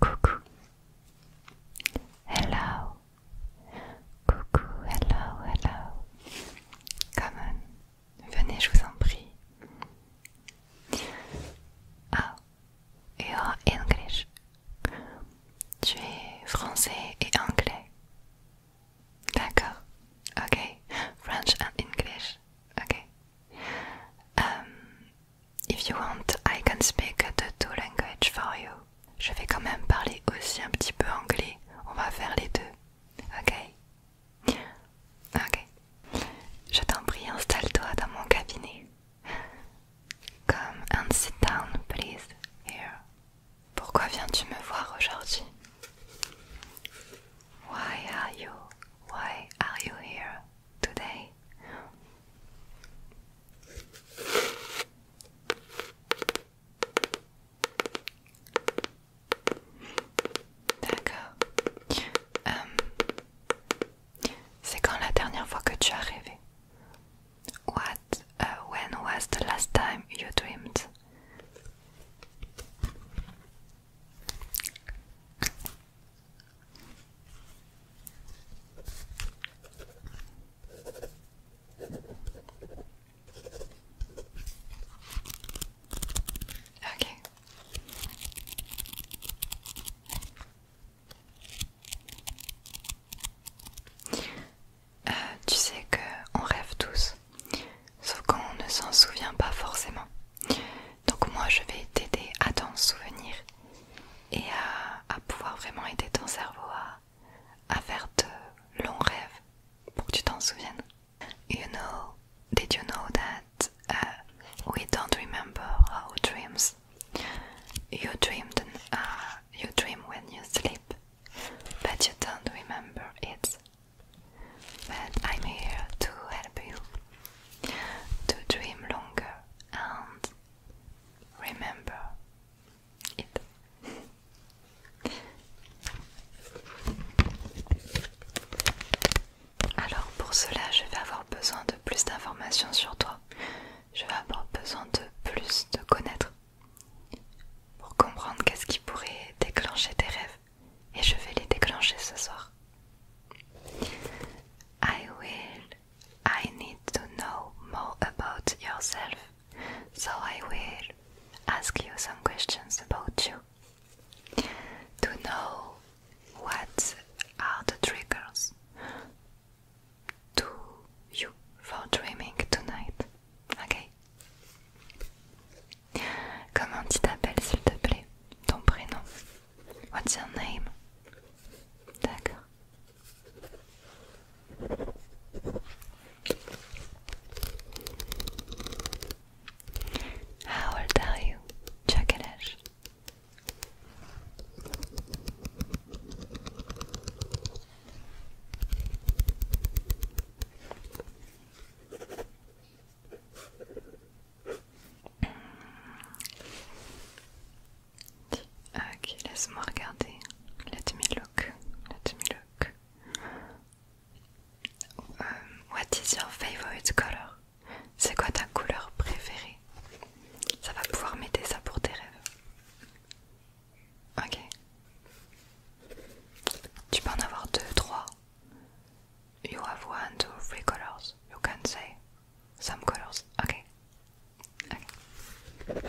Coucou. Hello. Coucou, hello, hello. Come on. Venez, je vous en prie. Ah et English. Tu es français et anglais. D'accord. Ok. French and English. Ok. Um, if you want, I can speak the two languages for you. Je vais quand même parler aussi un petit peu anglais. On va faire les deux. Ok. Ok. Je t'en prie, installe-toi dans mon cabinet. Come and sit down, please, here. Pourquoi viens-tu me voir aujourd'hui? Why are you? Why are you here today? D'accord. Euh, c'est quand la dernière fois que tu as rêvé? What? Uh, when was the last time you dreamed? Okay. Euh, tu sais que on rêve tous, sauf qu'on ne s'en souvient pas forcément. Donc moi je vais t'aider à t'en souvenir et à, pouvoir vraiment aider ton cerveau à, faire de longs rêves pour que tu t'en souviennes. You know, did you know that uh, we don't remember our dreams? You dreamed uh, you dream when you sleep, but you don't remember it. But I'm here to help you to dream longer and remember it. Alors pour cela, je vais avoir besoin de plus d'informations sur toi je vais avoir besoin de plus de connaître pour comprendre qu'est-ce qui pourrait déclencher tes rêves. Et je vais les déclencher ce soir. I will. I need to know more about yourself. So I will ask you some questions about you. To know what are the triggers to you for dreaming tonight. Ok Comment tu t'appelles s'il te plaît Ton prénom What's your name D'accord. How old are you Tu Ok, laisse-moi regarder. Let me look. Let me look. Euh, what is your favorite color? C'est quoi ta couleur préférée? Ça va pouvoir m'aider ça pour tes rêves. Ok. Tu peux en avoir deux, You have one, two, three colors. You can say some colors. Ok. Ok.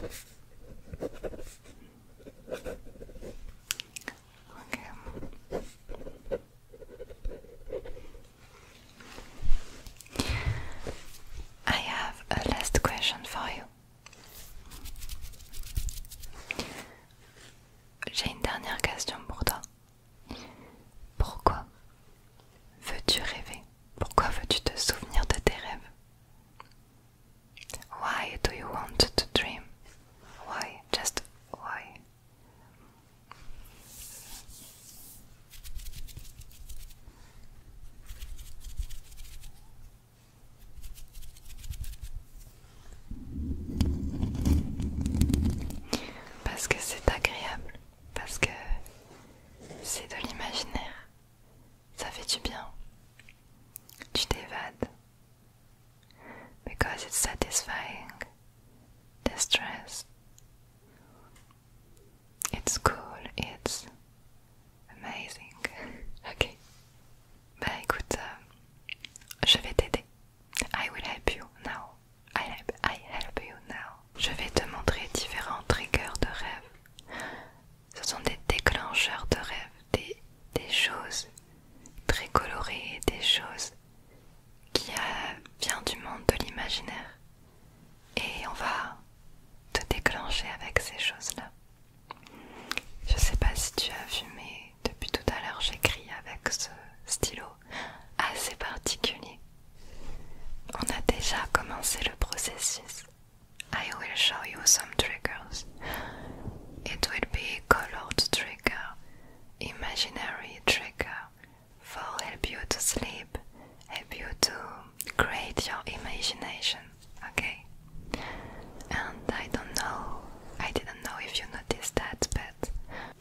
Okay. I have a last question for you. J'ai une dernière question pour toi. Pourquoi veux-tu rêver Pourquoi veux-tu te souvenir de tes rêves Why do you want to dream Why Just why parce que c'est agréable, parce que c'est de l'imaginaire, ça fait du bien, tu t'évades. Because it's satisfying the stress. It's cool, it's amazing. ok. Bah écoute, euh, je vais t'aider. I will help you now. I help, I you now. Je vais te montrer différents triggers de rêve. Ce sont des déclencheurs de rêve, des, choses très colorées, des choses qui euh, viennent du monde de l'imaginaire et on va te déclencher avec ces choses-là. Je sais pas si tu as vu, mais depuis tout à l'heure j'écris avec ce stylo assez particulier. On a déjà commencé le processus. I will show you some triggers. It will be colored trigger, imaginary trigger, for help you to sleep, help you to create your imagination, okay? And I don't know, I didn't know if you noticed that, but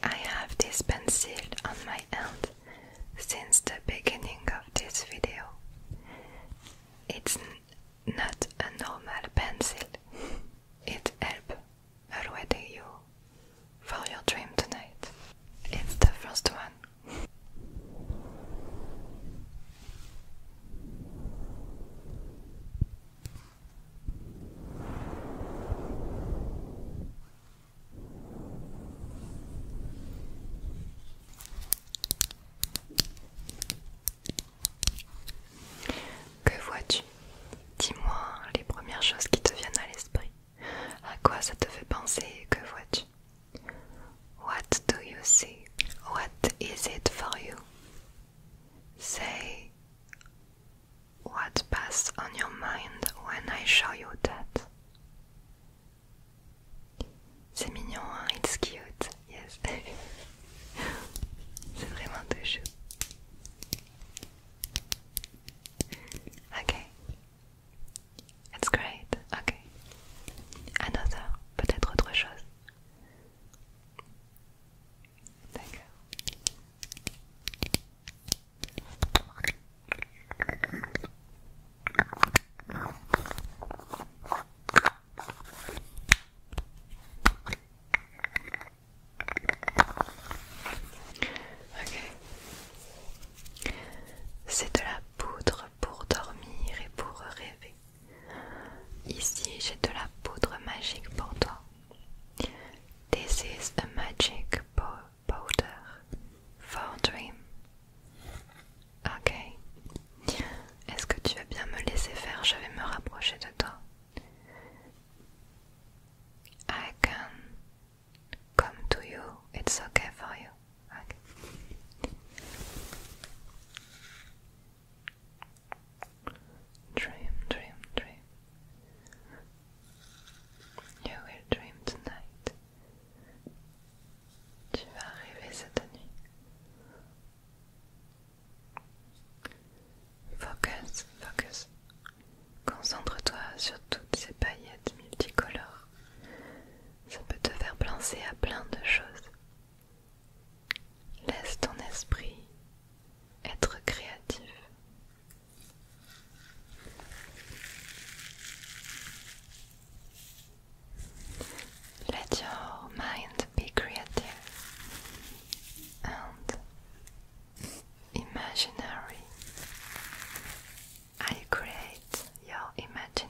I have this pencil on my hand since the beginning of this video. It's not a normal pencil, it helps already you for your dream tonight. It's the first one Que vois-tu Dis-moi les premières choses qui te viennent à l'esprit. À quoi ça te fait penser Que vois-tu What do you see? What is it for you? Say what passed on your mind when I show you that. it's cute, yes. C'est vraiment touchant. Okay. It's great. Ok. Another. Peut-être autre chose. D'accord. Ok. C'est de la poudre pour dormir et pour rêver. Ici, j'ai de la poudre magique pour toi. This is a magic powder for dream. Ok. Est-ce que tu veux bien me laisser faire Je vais me rapprocher de toi. I can come to you. It's okay for you. Dream, dream, dream. You will dream tonight. Tu vas rêver cette nuit. Focus, focus. Concentre-toi sur toutes ces paillettes multicolores. Ça peut te faire penser à plein de choses. Laisse ton esprit être créatif. Let your mind be creative and imaginary. I create your imaginary.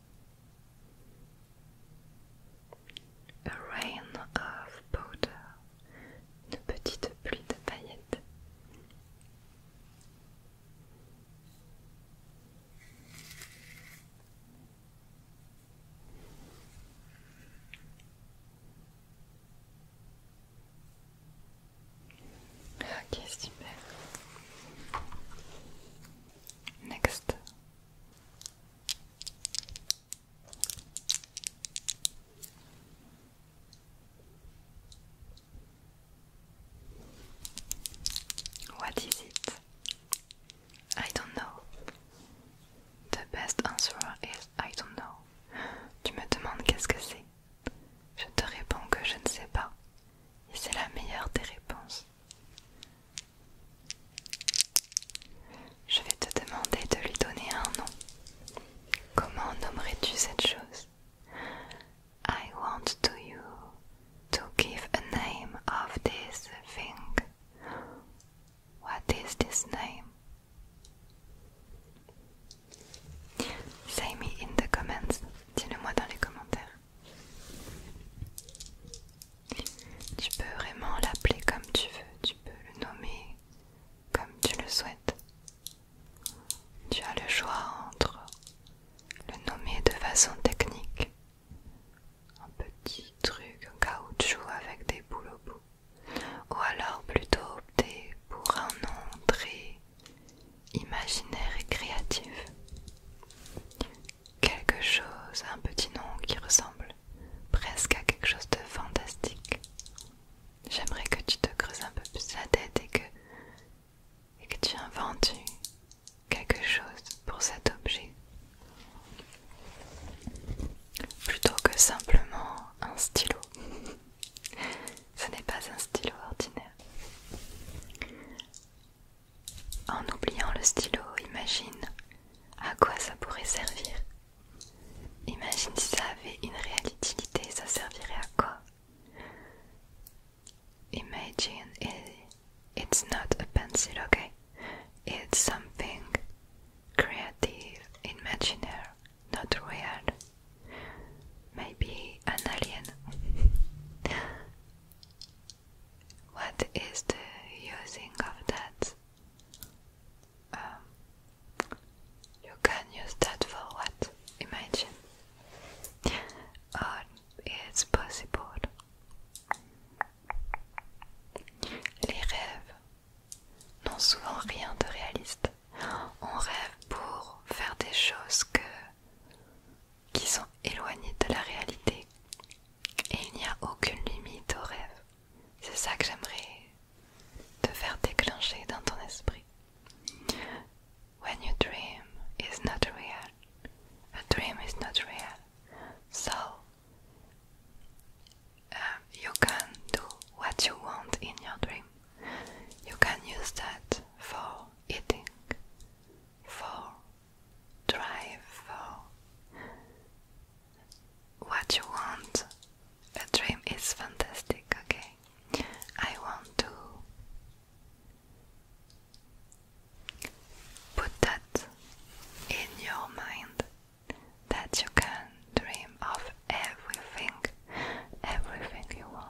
A rain of powder, une petite pluie de paillettes. Ok, super. Next. What is it? I don't know. The best answer is I don't know. Tu me demandes qu'est-ce que c'est? Je te réponds que je ne sais pas. Et c'est la meilleure des réponses. Je vais te demander de lui donner un nom. Comment nommerais-tu cette chose I want to you to give a name of this thing. What is this name? Say me in the comments. Dis-le-moi dans les commentaires. Tu peux vraiment l'appeler comme tu veux, tu peux le nommer comme tu le souhaites. Tu as le choix entre le nommer de façon technique, un petit truc un caoutchouc avec des boules au bout, ou alors plutôt opter pour un nom très imaginaire et créatif quelque chose, un petit nom qui ressemble presque à quelque chose de fantastique. J'aimerais que tu te creuses un peu plus la tête et que, et que tu inventes quelque chose pour cet objet. Plutôt que simplement un stylo. Ce n'est pas un stylo ordinaire. En oubliant le stylo, imagine à quoi ça pourrait servir. Imagine si ça avait une réalité, ça servirait à quoi Imagine it's not a pencil, okay? It's something creative, imaginary, not real. Maybe an alien. What is the using of that? Um, you can use that for what? Imagine. Or it's possible. Les rêves n'ont souvent rien de réaliste. On rêve pour faire des choses que qui sont éloignés de la réalité et il n'y a aucune limite au rêve. C'est ça que j'aimerais te faire déclencher dans ton esprit. When you dream is not real. A dream is not real. So um, you can do what you want in your dream. You can use that for eating, for drive for what you want. A dream is fantastic, okay? I want to put that in your mind that you can dream of everything, everything you want.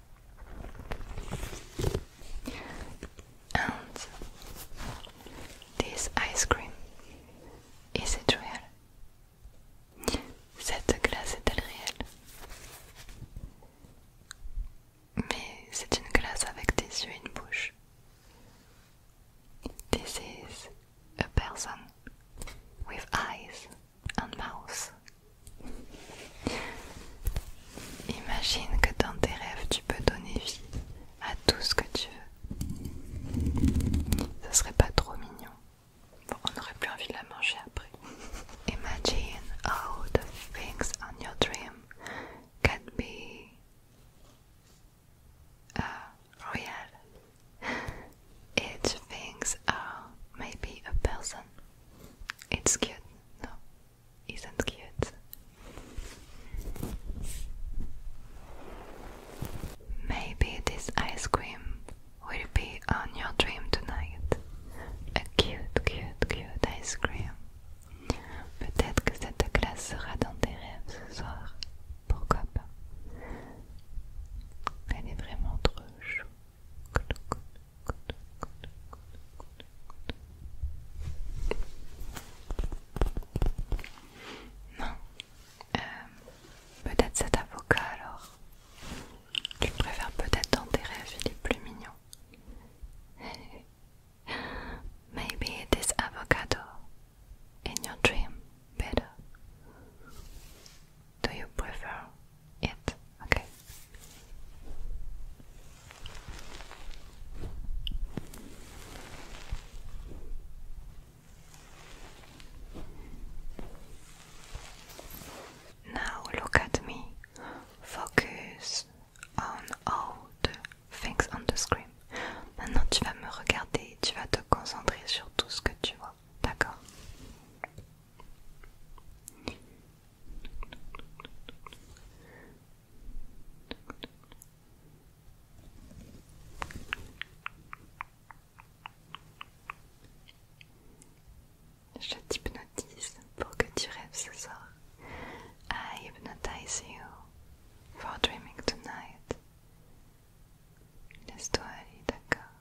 And this ice cream is it real? Cette glace est-elle réelle? Mais c'est une glace avec des yeux et une This is a person with eyes mouse. Imagine que dans tes rêves tu peux donner vie à tout ce que tu veux. Ça serait pas trop mignon. Bon, on n'aurait plus envie de la manger après. Imagine how the things on your dream can be uh, real. Each things are maybe a person. It's cute. Non, No, isn't cute. Maybe this ice cream will be on your dream tonight. A cute, cute, cute ice cream. Peut-être que cette glace sera dans tes rêves ce soir. Pourquoi pas? Elle est vraiment trop chou. Non. Euh, peut-être cet avocat alors. Tu préfères peut-être dans tes rêves, est plus mignon. Maybe this avocado in your dream better. Do you prefer it? Ok Now look at me. Focus on all the things on the screen. Maintenant tu vas me regarder, tu vas te concentrer sur tout ce que tu vois. D'accord Je t'hypnotise pour que tu rêves ce soir. I hypnotize you for dreaming tonight. Laisse-toi d'accord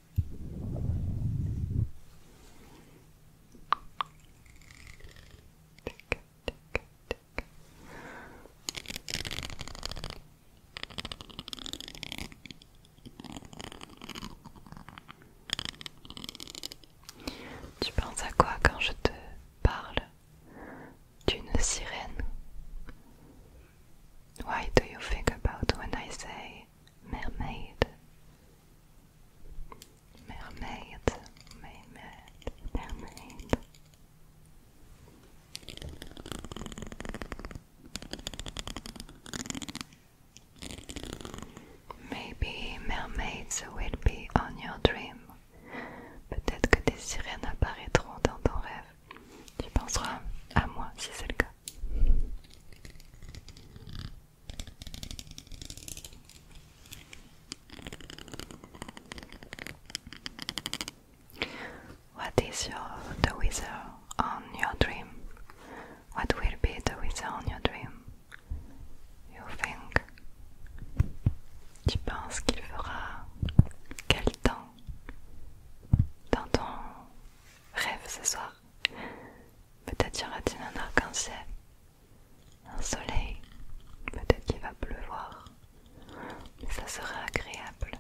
Tu penses à quoi quand je te parle d'une sirène? Why do you think about when I say mermaid. Mermaid, mermaid, mermaid. Maybe mermaids will be on your dream. Peut-être que des sirènes apparaîtront dans ton rêve. Tu penseras à moi si c'est le cas. What is your the weather on your dream? What will be the weather on your dream? You think? Tu penses qu'il fera quel temps dans ton rêve ce soir? Peut-être y aura-t-il un arc-en-ciel, un soleil, peut-être qu'il va pleuvoir. Mais ça sera agréable,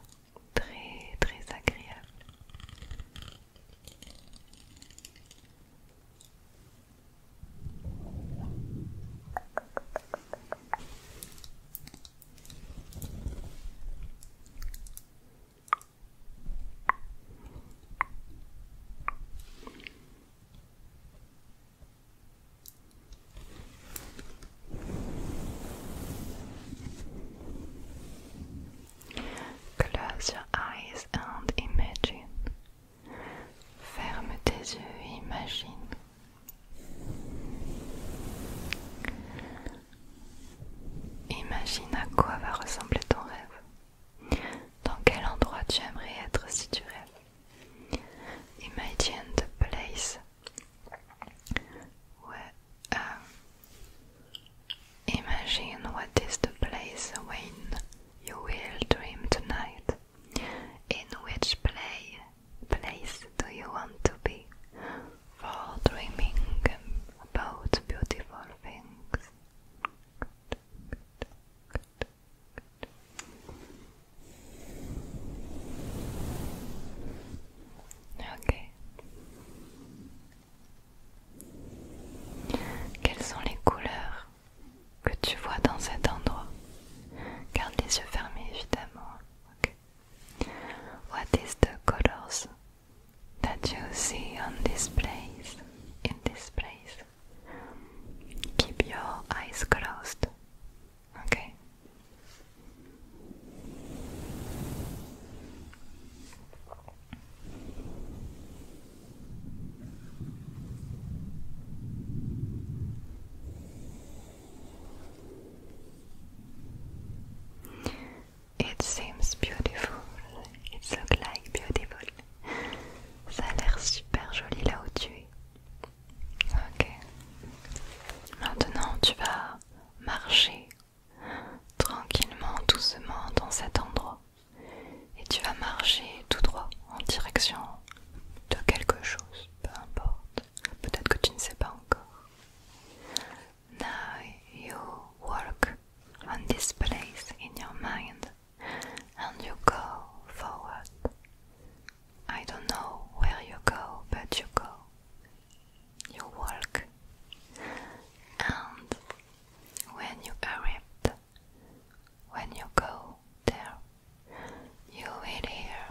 très très agréable. Close your eyes and imagine. Ferme tes yeux imagine. Imagine à quoi va ressembler ton rêve. Dans quel endroit tu aimerais être si tu rêves. Imagine the place. Um, imagine what is the place when you will dream tonight. In which play, place do you want to be for dreaming about beautiful things? Ok. Quelles sont les couleurs que tu vois dans cet endroit Garde les yeux fermés évidemment. What is the colors that you see on this place, in this place. Keep your eyes closed, okay? It seems beautiful. It looks like beautiful. Ça a l'air super joli là où tu es. Ok. Maintenant, tu vas marcher tranquillement, doucement dans cet endroit. Et tu vas marcher tout droit en direction de quelque chose, peu importe. Peut-être que tu ne sais pas encore. Now you work on this place in your mind and you go forward. I don't know where you go, but you go. You walk. And when you arrived, when you go there, you will hear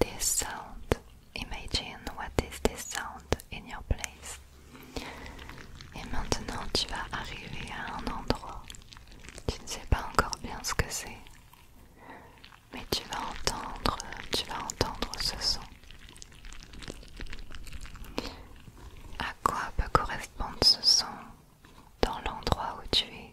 this sound. Imagine what is this sound in your place. Et maintenant tu vas arriver à un endroit. Tu ne sais pas encore bien ce que c'est. Mais tu vas entendre, tu vas entendre ce son. À quoi peut correspondre ce son dans l'endroit où tu es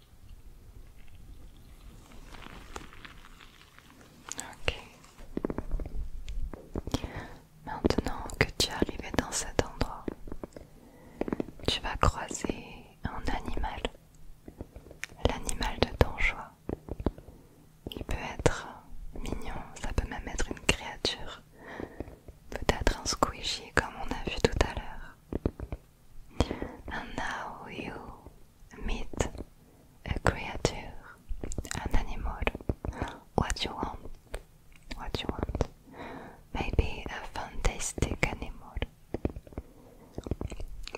Ok. Maintenant que tu es arrivé dans cet endroit, tu vas croiser un animal, l'animal de ton choix. Il peut être mignon, ça peut même être une créature, peut-être un squishy comme on a vu tout à l'heure, And now you meet a creature, an animal, what you want, what you want. Maybe a fantastic animal,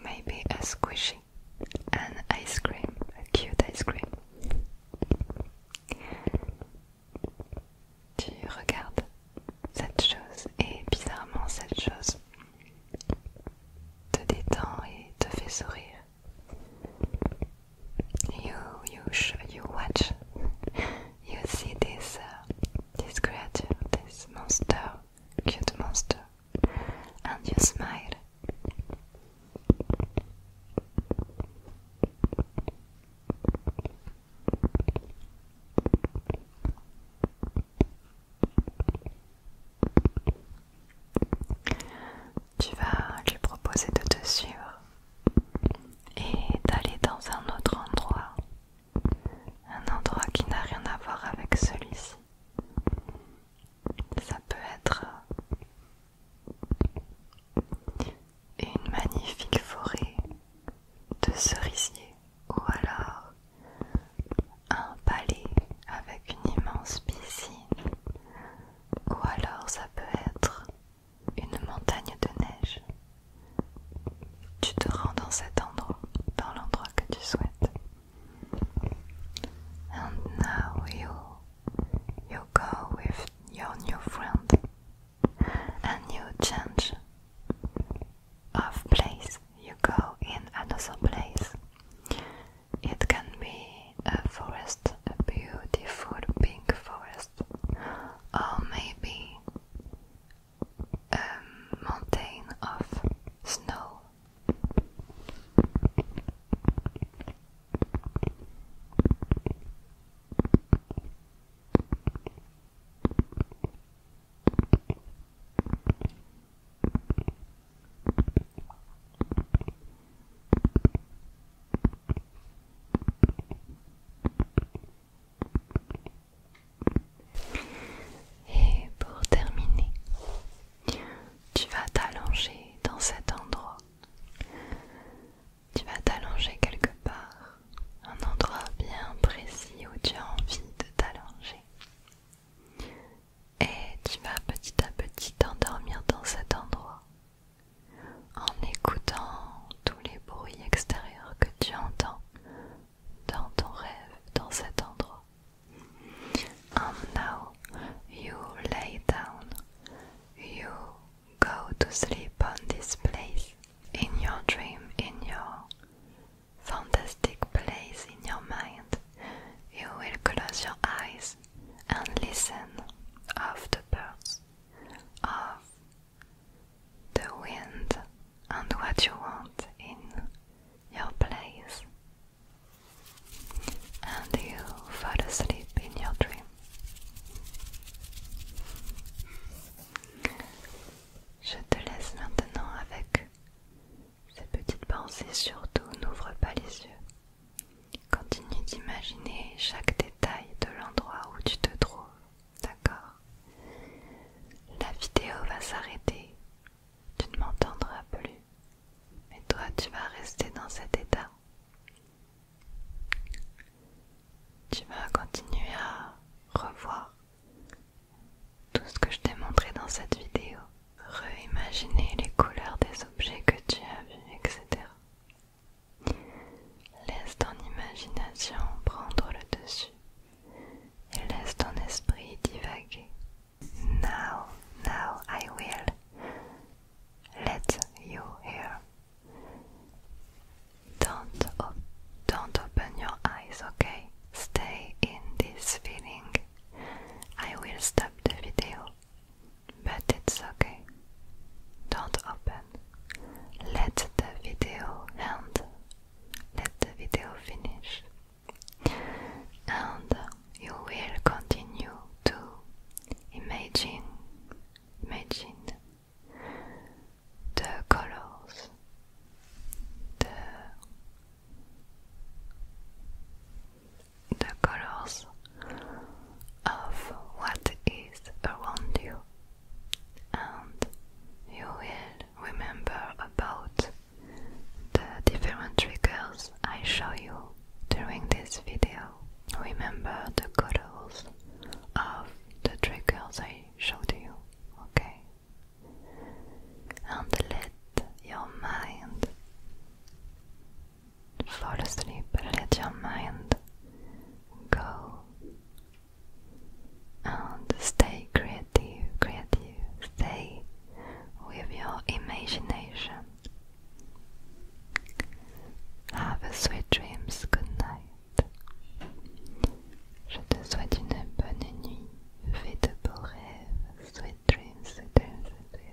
maybe a squishy, an ice cream, a cute ice cream. tu regardes cette chose et bizarrement cette chose te détend et te fait sourire. You you you watch. You see this uh, this creature, this monster, cute monster, and you smile. Tu vas lui proposer de te suivre et d'aller dans un autre endroit, un endroit qui n'a rien à voir avec celui-ci. Ça peut être une magnifique forêt de cerisiers ou alors un palais avec une immense piscine, ou alors ça peut être une montagne de neige. Tu te rends dans cet endroit, dans l'endroit que tu souhaites. And now you, you go with your new friend and you change of place you go in another place. It can be a forest, a beautiful pink forest, or maybe a mountain of snow. Et pour terminer, tu vas t'allonger dans cet endroit. Tu vas t'allonger quelque part un endroit bien précis où tu as envie de t'allonger. Et tu vas petit à petit t'endormir dans cet endroit en écoutant tous les bruits extérieurs que tu entends dans ton rêve, dans cet endroit. And now you lay down, you go to sleep on this place, in your dream, in your fantastic place in your mind, you will close your eyes and listen of the birds, of the wind and what you want in your place. And you fall asleep in your dream. Je te laisse maintenant avec Cette petite pensée surtout n'ouvre pas les yeux. Continue d'imaginer chaque détail de l'endroit où tu te trouves, d'accord La vidéo va s'arrêter, tu ne m'entendras plus, mais toi tu vas rester dans cet état. Tu vas continuer à revoir tout ce que je t'ai montré dans cette vidéo, Réimaginez les couleurs des objets que tu as vus, etc. Laisse ton imagination prendre le dessus et laisse ton esprit divaguer. Now, now I will let you hear. Don't, don't open your eyes, okay? stay in this feeling, I will stop the video. But it's okay. Don't open. Let the video end. Let the video finish. And you will continue to imagine, imagine the colors, the the colors of what is around you and you will remember about the different triggers I show you during this video. Remember the colors of the triggers I showed you, okay? and let your mind fall asleep. Let your mind go and stay creative, creative. Stay with your imagination. Have a sweet dreams. Good night. Je te souhaite une bonne nuit. Fitable have sweet dreams, sweet dreams, sweet dreams.